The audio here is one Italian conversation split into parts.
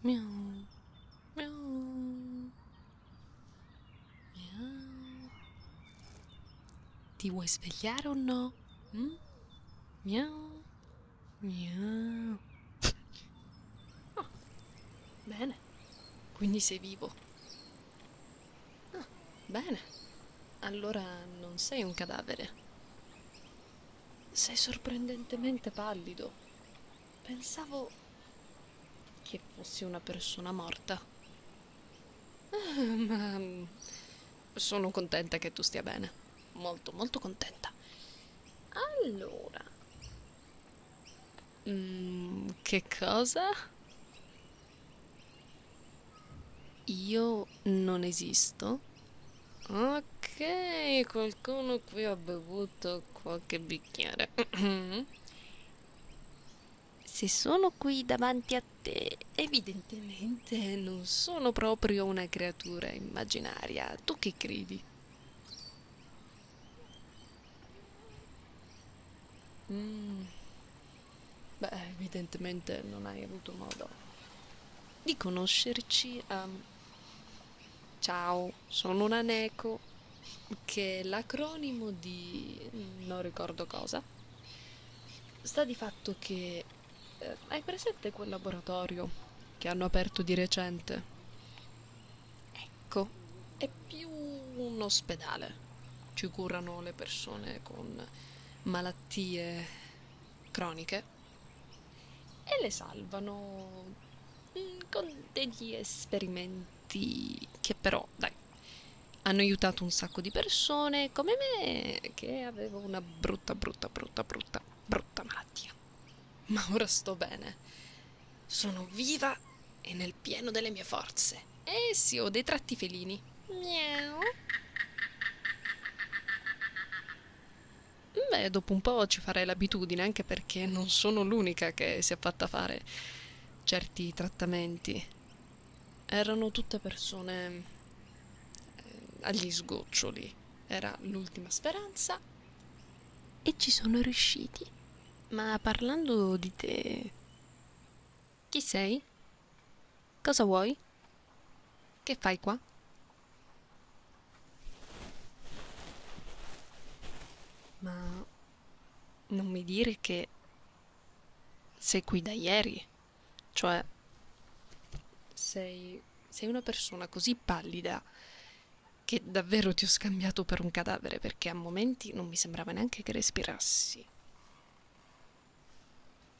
Miau. Miau. Miau. Ti vuoi svegliare o no? Mm? Miau. Miau. Oh. Bene. Quindi sei vivo. Ah, bene. Allora non sei un cadavere. Sei sorprendentemente pallido. Pensavo che fossi una persona morta. Eh, ma sono contenta che tu stia bene. Molto, molto contenta. Allora... Mm, che cosa? Io non esisto? Ok, qualcuno qui ha bevuto qualche bicchiere. Se sono qui davanti a te, evidentemente non sono proprio una creatura immaginaria. Tu che credi? Mm. Beh, evidentemente non hai avuto modo di conoscerci. Um, Ciao, sono una Neko, che è l'acronimo di non ricordo cosa. Sta di fatto che eh, hai presente quel laboratorio che hanno aperto di recente? Ecco, è più un ospedale. Ci curano le persone con malattie croniche e le salvano mm, con degli esperimenti che però, dai, hanno aiutato un sacco di persone come me che avevo una brutta, brutta, brutta, brutta, brutta malattia. Ma ora sto bene. Sono viva e nel pieno delle mie forze. Eh sì, ho dei tratti felini. Miau. Beh, dopo un po' ci farei l'abitudine, anche perché non sono l'unica che si è fatta fare certi trattamenti. Erano tutte persone eh, agli sgoccioli. Era l'ultima speranza. E ci sono riusciti. Ma parlando di te... Chi sei? Cosa vuoi? Che fai qua? Ma non mi dire che sei qui da ieri. Cioè, sei, sei una persona così pallida che davvero ti ho scambiato per un cadavere perché a momenti non mi sembrava neanche che respirassi.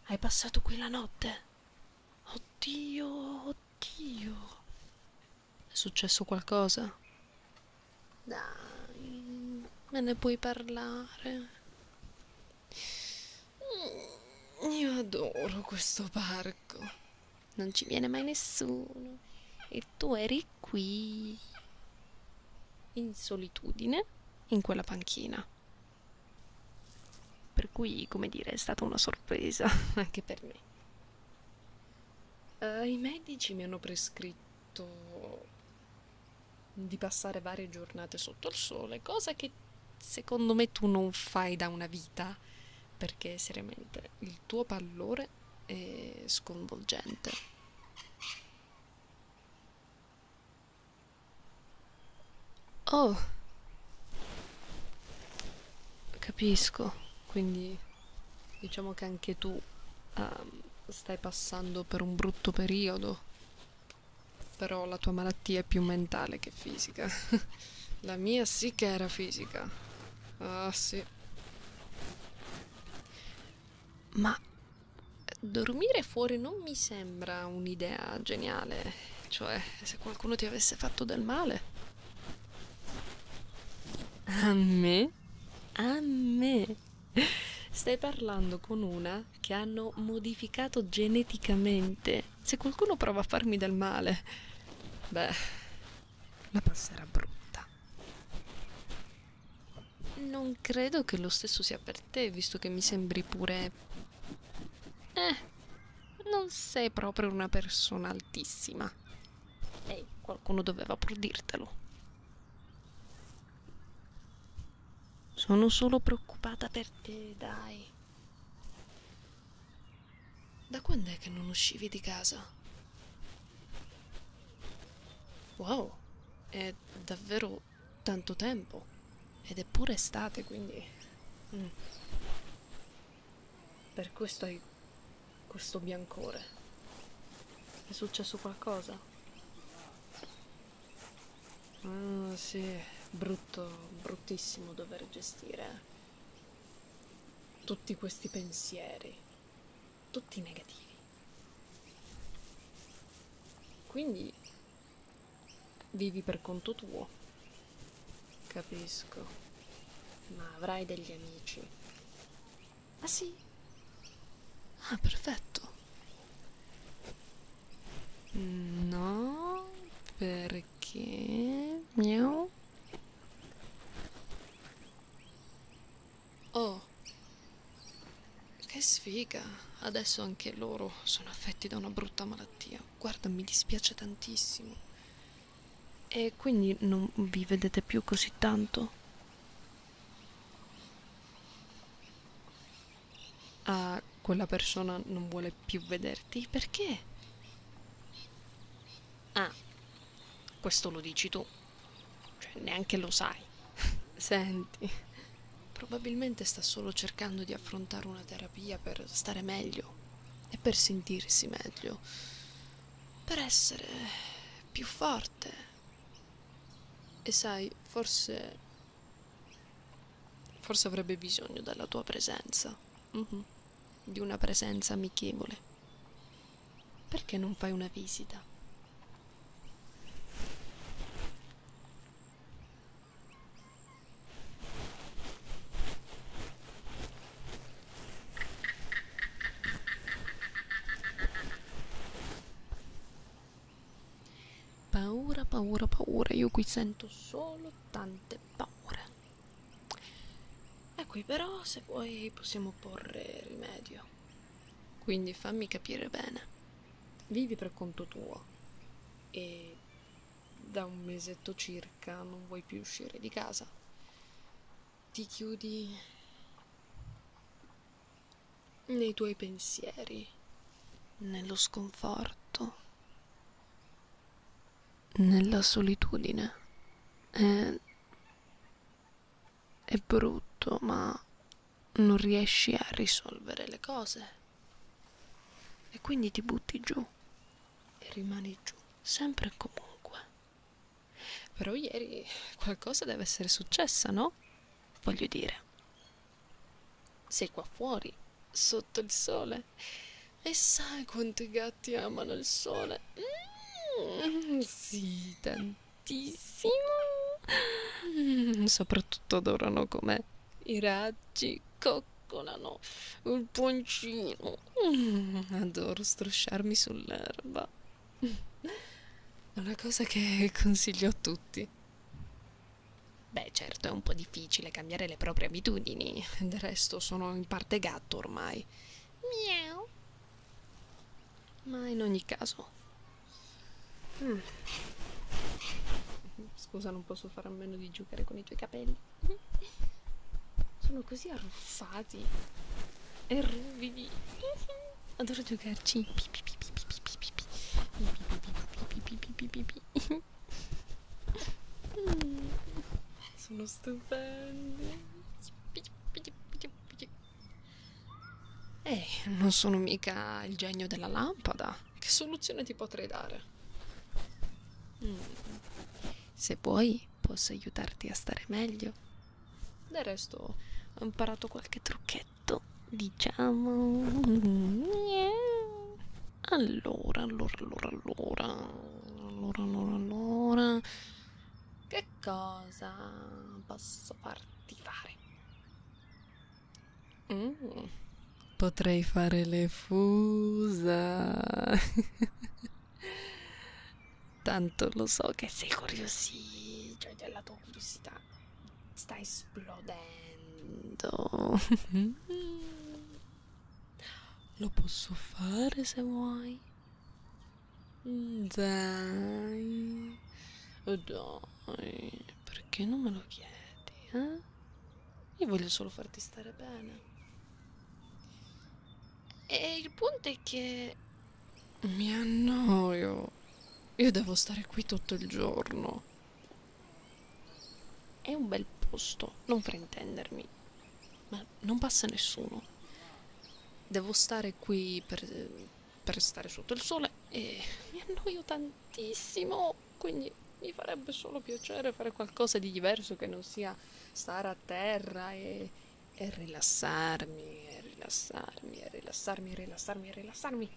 Hai passato qui la notte? Oddio, anch'io. È successo qualcosa? Dai, me ne puoi parlare. Mm, io adoro questo parco. Non ci viene mai nessuno. E tu eri qui, in solitudine, in quella panchina per cui come dire è stata una sorpresa anche per me Uh, I medici mi hanno prescritto di passare varie giornate sotto il sole, cosa che secondo me tu non fai da una vita, perché seriamente il tuo pallore è sconvolgente. Oh! Capisco, quindi diciamo che anche tu um, stai passando per un brutto periodo. Però la tua malattia è più mentale che fisica. la mia sì che era fisica. Ah sì. Ma dormire fuori non mi sembra un'idea geniale. Cioè, se qualcuno ti avesse fatto del male. A me? A me? Stai parlando con una che hanno modificato geneticamente. Se qualcuno prova a farmi del male, beh, la passerà brutta. Non credo che lo stesso sia per te, visto che mi sembri pure eh, non sei proprio una persona altissima. Ehi, hey, qualcuno doveva pur dirtelo. Sono solo preoccupata per te, dai. Da quando è che non uscivi di casa? Wow, è davvero tanto tempo. Ed è pure estate, quindi... Mm. Per questo hai questo biancore. È successo qualcosa? Ah, sì, brutto, bruttissimo dover gestire tutti questi pensieri, tutti negativi. Quindi Vivi per conto tuo. Capisco. Ma avrai degli amici. Ah sì? Ah, perfetto. No, perché... Miau. Oh. Che sfiga. Adesso anche loro sono affetti da una brutta malattia guarda mi dispiace tantissimo e quindi non vi vedete più così tanto ah quella persona non vuole più vederti perché ah questo lo dici tu cioè neanche lo sai senti probabilmente sta solo cercando di affrontare una terapia per stare meglio e per sentirsi meglio, per essere più forte. E sai, forse... forse avrebbe bisogno della tua presenza, mm -hmm. di una presenza amichevole. Perché non fai una visita? Paura, paura, paura, io qui sento solo tante paure. E ecco, qui però se vuoi possiamo porre rimedio. Quindi fammi capire bene. Vivi per conto tuo e da un mesetto circa non vuoi più uscire di casa. Ti chiudi nei tuoi pensieri, nello sconforto, nella solitudine. È, è brutto, ma non riesci a risolvere le cose. E quindi ti butti giù e rimani giù, sempre e comunque. Però ieri qualcosa deve essere successa, no? Voglio dire. Sei qua fuori, sotto il sole. E sai quanti gatti amano il sole? Mm, sì, tantissimo. Mm, soprattutto adorano come i raggi, cocco piccolano il poncino. Mm, adoro strusciarmi sull'erba. È una cosa che consiglio a tutti. Beh, certo, è un po' difficile cambiare le proprie abitudini. Del resto sono in parte gatto ormai. Miau. Ma in ogni caso... Mm. Scusa, non posso fare a meno di giocare con i tuoi capelli. Sono così arruffati e ruvidi. Adoro giocarci. Sono stupendi. Eh, non sono mica il genio della lampada. Che soluzione ti potrei dare? Mm. Se vuoi posso aiutarti a stare meglio. Del resto ho imparato qualche trucchetto, diciamo. Allora, allora, allora, allora, allora, allora, allora. Che cosa posso farti fare? Mm. Potrei fare le fusa. Tanto lo so che sei curiosi, cioè la tua curiosità sta esplodendo. lo posso fare se vuoi. Mm, dai, oh dai, perché non me lo chiedi? Eh? Io voglio solo farti stare bene. E il punto è che... Mi annoio. Io devo stare qui tutto il giorno. È un bel posto, non fraintendermi. Ma non passa nessuno. Devo stare qui per, per stare sotto il sole e mi annoio tantissimo. Quindi mi farebbe solo piacere fare qualcosa di diverso che non sia stare a terra e, e rilassarmi, e rilassarmi, e rilassarmi, e rilassarmi, e rilassarmi.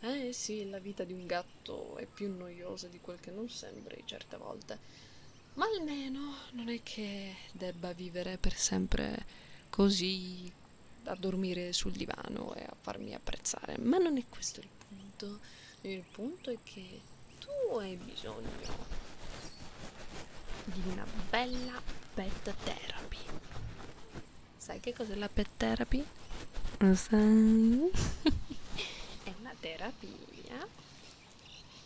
Eh sì, la vita di un gatto è più noiosa di quel che non sembri certe volte. Ma almeno non è che debba vivere per sempre così a dormire sul divano e a farmi apprezzare, ma non è questo il punto. Il punto è che tu hai bisogno di una bella pet therapy. Sai che cos'è la pet therapy? Lo sai? è una terapia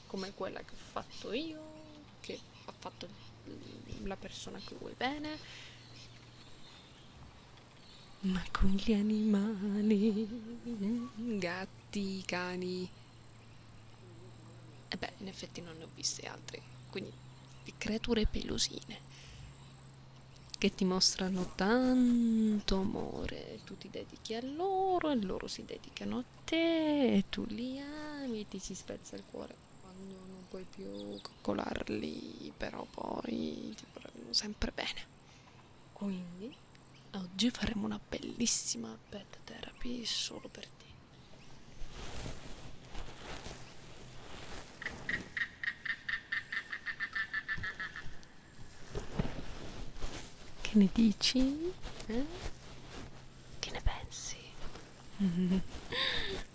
come quella che ho fatto io, che ha fatto la persona che vuoi bene. Ma con gli animali, gatti gatti, cani. E eh beh, in effetti non ne ho viste altre. Quindi creature pelosine che ti mostrano tanto amore. Tu ti dedichi a loro e loro si dedicano a te e tu li ami e ti si spezza il cuore quando non puoi più coccolarli, però poi ti vorranno sempre bene. Quindi Oggi faremo una bellissima pet therapy solo per te. Che ne dici? Eh? Che ne pensi?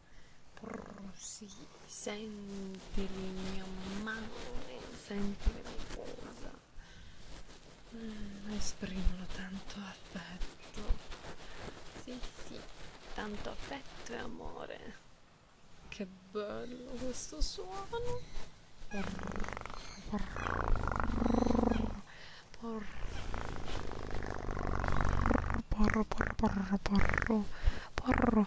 Brr, sì, senti mio amore, senti la mia cosa. Mm, esprimono tanto affetto. Sì, sì, tanto affetto e amore. Che bello questo suono. Brr, brr, brr. Porro, porro, porro, porro, porro,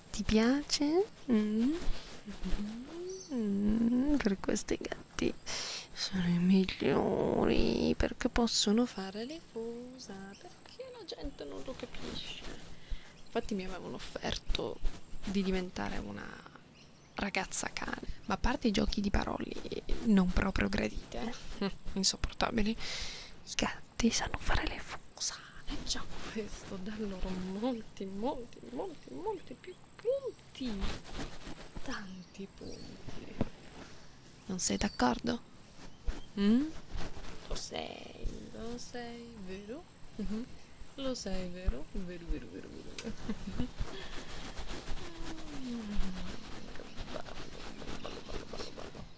Ti piace? Mm. Mm. Per questi gatti sono i migliori perché possono fare le cose perché la gente non lo capisce. Infatti mi avevano offerto di diventare una ragazza cane, ma a parte i giochi di parole non proprio gradite, eh, insopportabili, i gatti fatti sanno fare le fusane già questo dà loro molti molti molti molti più punti tanti punti non sei d'accordo? Mm? lo sei lo sei vero? Mm -hmm. lo sei vero? vero vero vero vero mm, che bello, bello, bello, bello, bello.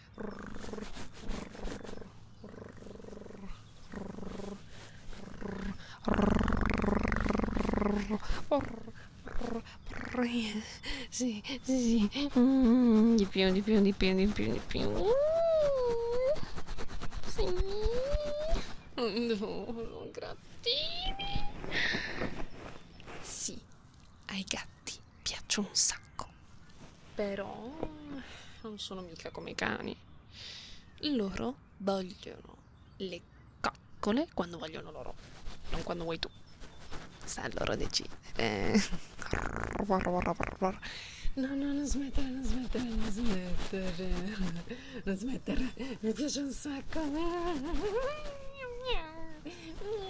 Sì, sì, sì. Mm, di più, di più, di più, di più, di più. Sì. No, grattini. Sì, hai gatto gatti piacciono un sacco. Però non sono mica come i cani. Loro vogliono le coccole quando vogliono loro, non quando vuoi tu. Sta a loro decidere. Eh. No, no, non smettere, non smettere, non smettere. Non smettere. Mi piace un sacco. Miau, miau, miau.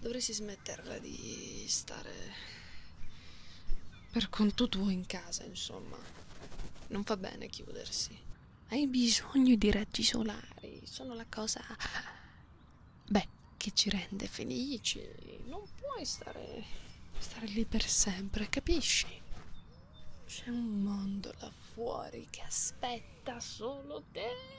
Dovresti smetterla di stare per conto tuo in casa, insomma. Non fa bene chiudersi. Hai bisogno di raggi solari, sono la cosa beh, che ci rende felici. Non puoi stare, stare lì per sempre, capisci? C'è un mondo là fuori che aspetta solo te.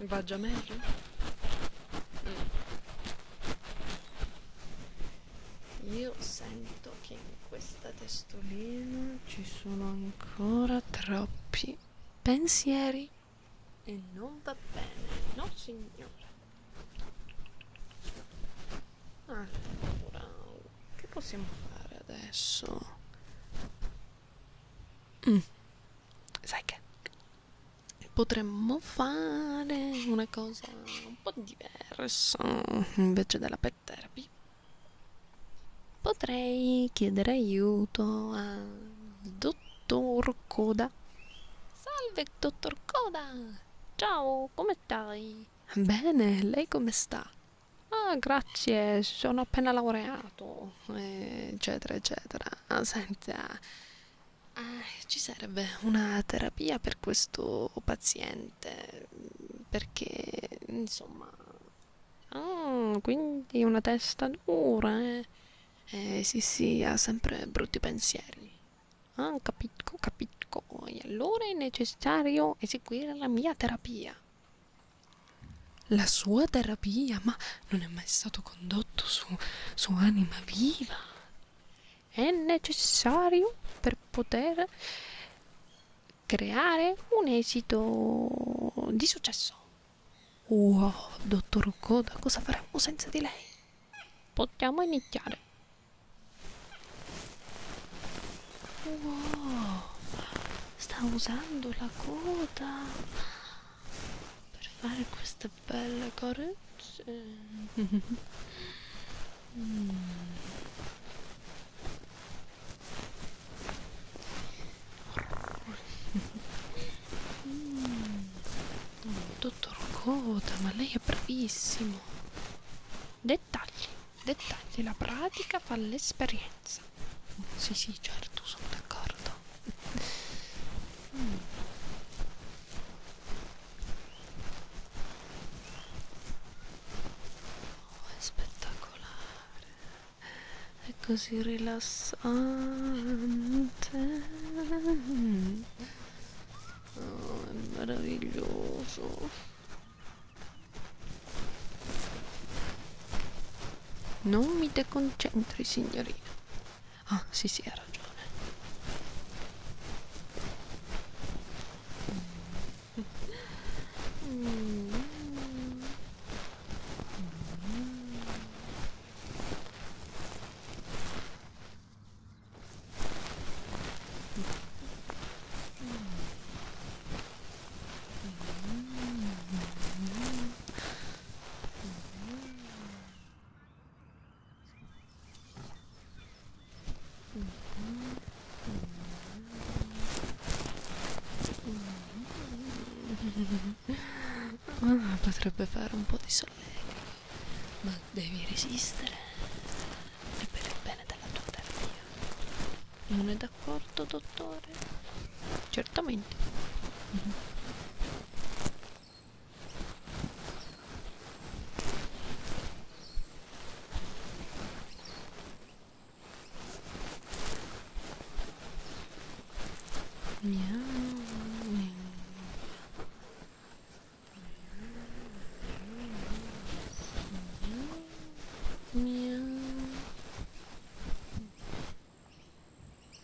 Va già meglio? Mm. Io sento che in questa testolina ci sono ancora troppi pensieri e non va bene, no signore. Allora, che possiamo fare adesso? Mm. Sai che potremmo fare una cosa un po' diversa mm, invece della pet therapy. Potrei chiedere aiuto al dottor Coda. Salve, dottor Coda! Ciao, come stai? Bene, lei come sta? Ah, grazie, sono appena laureato, eh, eccetera, eccetera. Ah, senta, ah, ci serve una terapia per questo paziente perché insomma ah, quindi una testa dura eh? eh sì sì ha sempre brutti pensieri ah capitco capitco e allora è necessario eseguire la mia terapia la sua terapia, ma non è mai stato condotto su, su anima viva. È necessario per poter creare un esito di successo. Wow, dottor Koda, cosa faremmo senza di lei? Possiamo iniziare. Wow, sta usando la coda per fare questa bella carezza mm. mm. dottor Coda ma lei è bravissimo dettagli dettagli la pratica fa l'esperienza sì, sì, certo, sono d'accordo. Mm. Oh, è spettacolare, è così rilassante. Oh, è meraviglioso. Non mi deconcentri, signorina. Ah, sì, sì, ha ragione. Ah, potrebbe fare un po' di solletico, ma devi resistere e per il bene della tua terapia. Non è d'accordo, dottore? fare certamente mm -hmm. Miau, miau. Miau. Miau.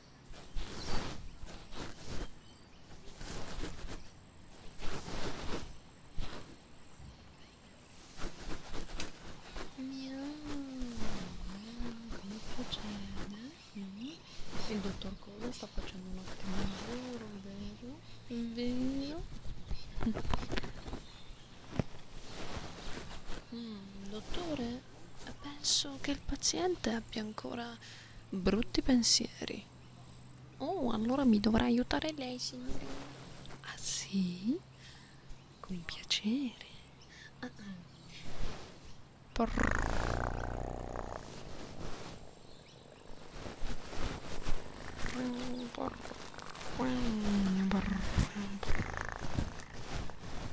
come procede? Mm. Il dottor Cosa sta facendo un ottimo lavoro, vero? Vero? Mm, dottore? penso che il paziente abbia ancora brutti pensieri. Oh, allora mi dovrà aiutare lei, signore. Ah sì? Con piacere. Ah, ah.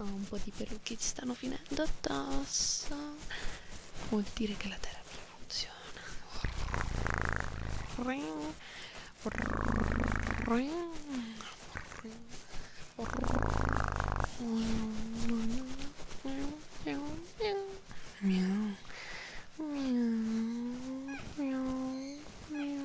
Oh, un po' di pelucchi ci stanno finendo addosso. Vuol dire che la terapia funziona. Miau, miau, miau, miau,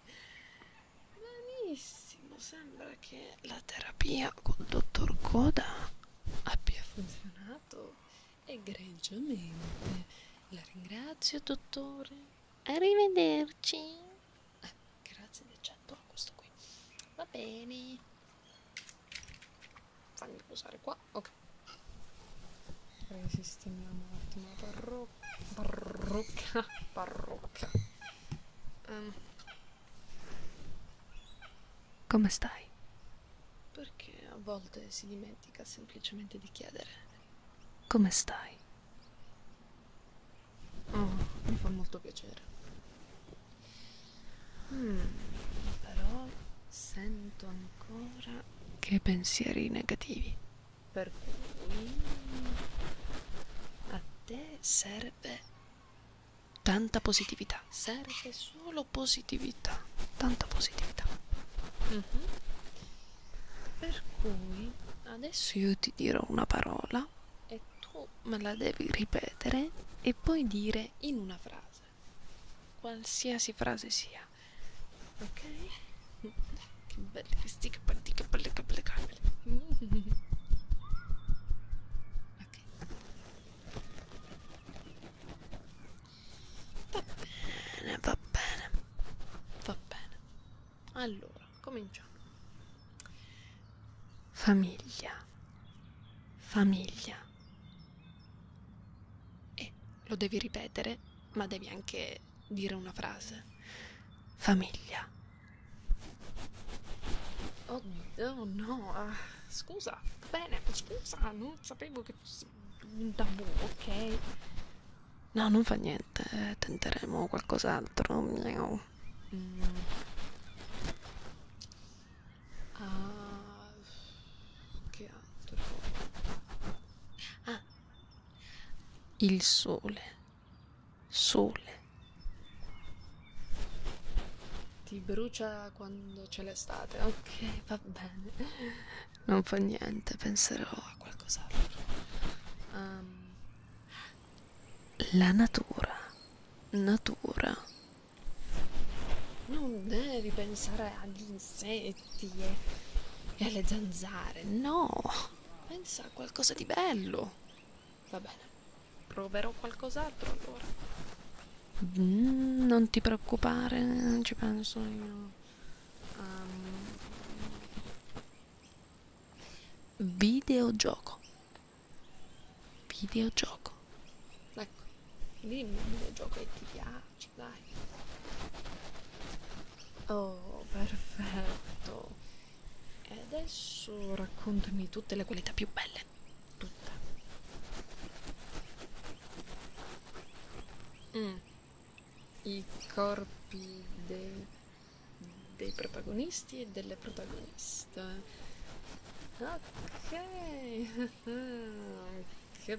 Benissimo, sembra che la terapia col dottor Coda abbia funzionato egregiamente. La ringrazio, dottore. Arrivederci. Eh, grazie del 100 a questo qui. Va bene. Fammi posare qua. Ok. Risistemiamo un attimo la parrocchia. Parrucca, parrucca. Um. Ehm. Come stai? Perché a volte si dimentica semplicemente di chiedere. Come stai? Oh, mi fa molto piacere. Mm, però sento ancora che pensieri negativi per cui a te serve tanta positività serve solo positività tanta positività mm -hmm. per cui adesso io ti dirò una parola e tu me la devi ripetere e poi dire in una frase qualsiasi frase sia ora ok che belle che stick che belle che belle caramelle ok va bene va bene va bene allora cominciamo famiglia famiglia e lo devi ripetere ma devi anche dire una frase. Famiglia. Oh, oh no, ah, scusa, bene, scusa, non sapevo che fosse un tabù, ok? No, non fa niente, eh, tenteremo qualcos'altro. Miau. Mm. Ah, che altro? Ah, il sole, sole. Ti brucia quando c'è l'estate, ok, va bene. Non fa niente, penserò a qualcos'altro. Um, la natura, natura. Non devi pensare agli insetti e alle zanzare, no Pensa a qualcosa di bello. Va bene. Proverò qualcos'altro allora. Mm, non ti preoccupare, non ci penso io. Um, videogioco. Videogioco. Ecco, dimmi un videogioco che ti piace ci vai. Oh, perfetto. E adesso raccontami tutte le qualità più belle. Tutte. Mm. I corpi dei, dei protagonisti e delle protagoniste. Ok. che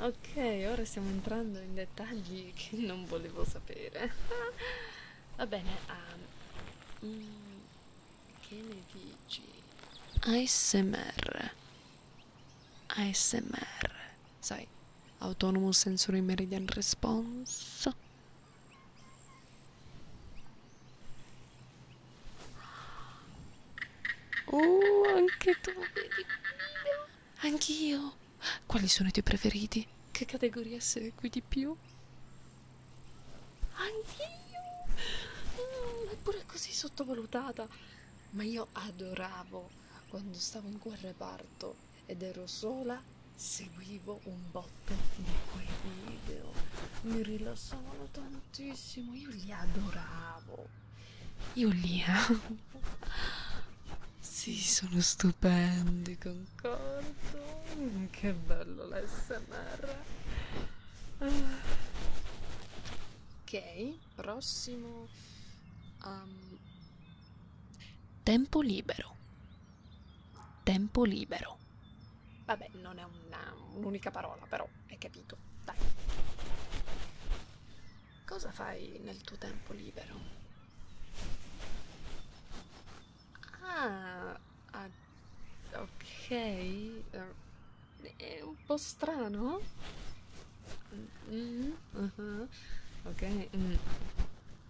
Ok, ora stiamo entrando in dettagli che non volevo sapere. Va bene, um, mm, che ne dici? ASMR. ASMR. Sai, Autonomous Sensory Meridian Response. Oh, anche tu vedi. Anch'io. Quali sono i tuoi preferiti? Che categoria segui di più? Anch'io! Mm, eppure così sottovalutata. Ma io adoravo quando stavo in quel reparto ed ero sola, seguivo un botto di quei video. Mi rilassavano tantissimo, io li adoravo. Io li amo. Sì, sono stupendi, concordo. Mm, che bello l'SMR. Ok, prossimo. Um, tempo libero. Tempo libero. Vabbè, non è un'unica un parola, però hai capito. Dai. Cosa fai nel tuo tempo libero? Ah, ah ok. Eh, è un po' strano. Mm, mm-hmm, uh -huh. Ok. Mm.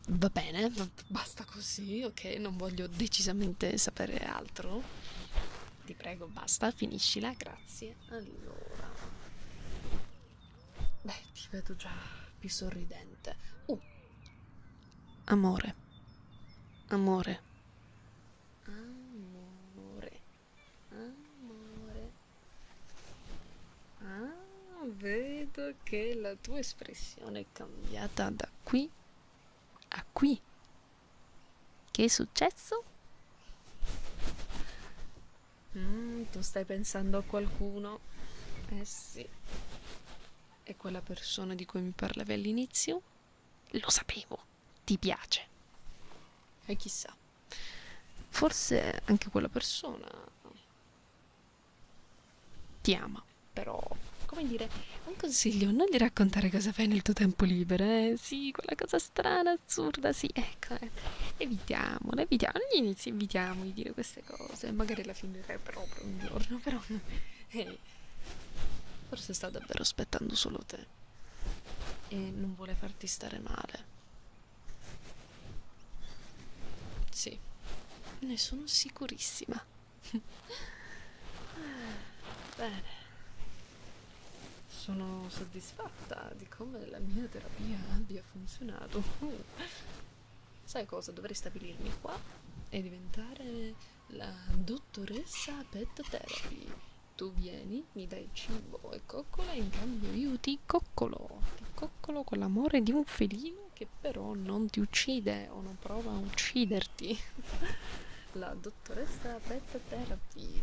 Va bene, basta così, ok? Non voglio decisamente sapere altro. Ti prego, basta, finiscila, grazie. Allora. Beh, ti vedo già più sorridente. Uh. Amore. Amore. Amore. Amore. Ah, vedo che la tua espressione è cambiata da qui a qui. Che è successo? Mm, tu stai pensando a qualcuno? Eh sì. E quella persona di cui mi parlavi all'inizio? Lo sapevo, ti piace. E eh, chissà, forse anche quella persona ti ama, però come dire, un consiglio, non di raccontare cosa fai nel tuo tempo libero, eh? Sì, quella cosa strana, assurda, sì, ecco, eh. evitiamola, evitiamo, agli inizi evitiamo di dire queste cose, magari la finirei proprio un giorno, però, hey, eh, forse sta davvero aspettando solo te e non vuole farti stare male. Sì, ne sono sicurissima. Bene. Sono soddisfatta di come la mia terapia abbia ha funzionato. Uh. Sai cosa? Dovrei stabilirmi qua e diventare la dottoressa pet therapy. Tu vieni, mi dai cibo e coccola, in cambio io ti coccolo. Ti coccolo con l'amore di un felino che però non ti uccide o non prova a ucciderti. la dottoressa pet therapy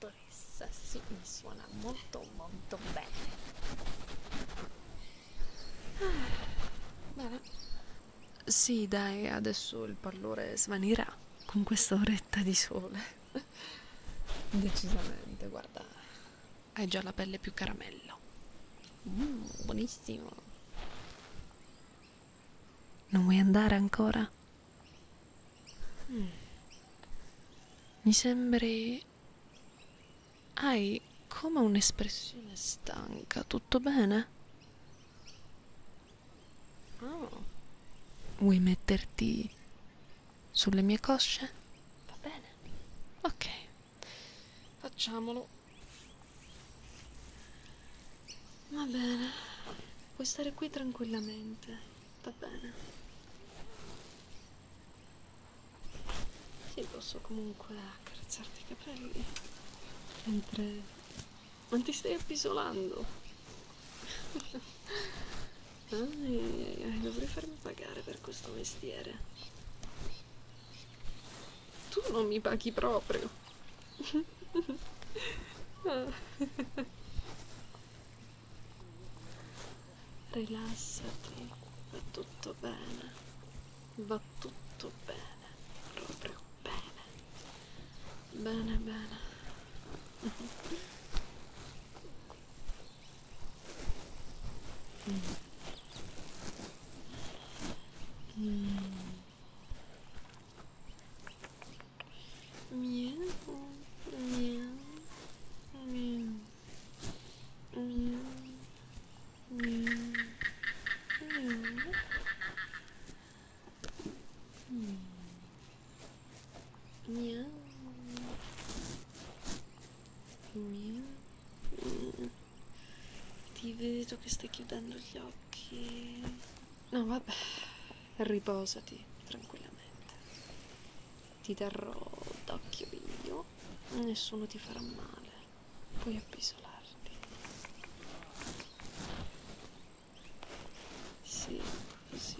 dottoressa sì, mi suona molto molto bene ah, bene sì dai adesso il pallore svanirà con questa oretta di sole decisamente guarda hai già la pelle più caramello mm, buonissimo non vuoi andare ancora? Mm. Mi sembri... Hai come un'espressione stanca, tutto bene? Oh. Vuoi metterti sulle mie cosce? Va bene. Ok, facciamolo. Va bene, puoi stare qui tranquillamente va bene sì posso comunque accarezzarti i capelli mentre non ti stai appisolando ah, dovrei farmi pagare per questo mestiere tu non mi paghi proprio ah rilassati va tutto bene va tutto bene proprio bene bene bene mm. Mm. Miau, miau, miau, miau, miau, miau. Hmm. Miau. Miau. Mm. Ti vedo che stai chiudendo gli occhi. No, vabbè, riposati tranquillamente ti darò d'occhio io, nessuno ti farà male, puoi appisolarti. Sì, così.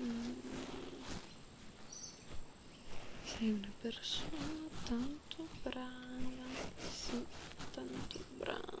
Mm. Sei una persona tanto brava, sì, tanto brava.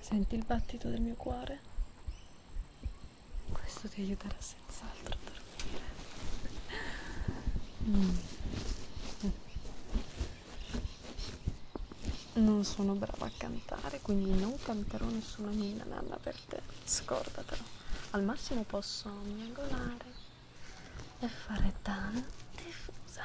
Senti il battito del mio cuore? Questo ti aiuterà senz'altro a dormire. Mm. Non sono brava a cantare, quindi non canterò nessuna mina nanna per te, scordatelo. Al massimo posso miagolare e fare tanta diffusa.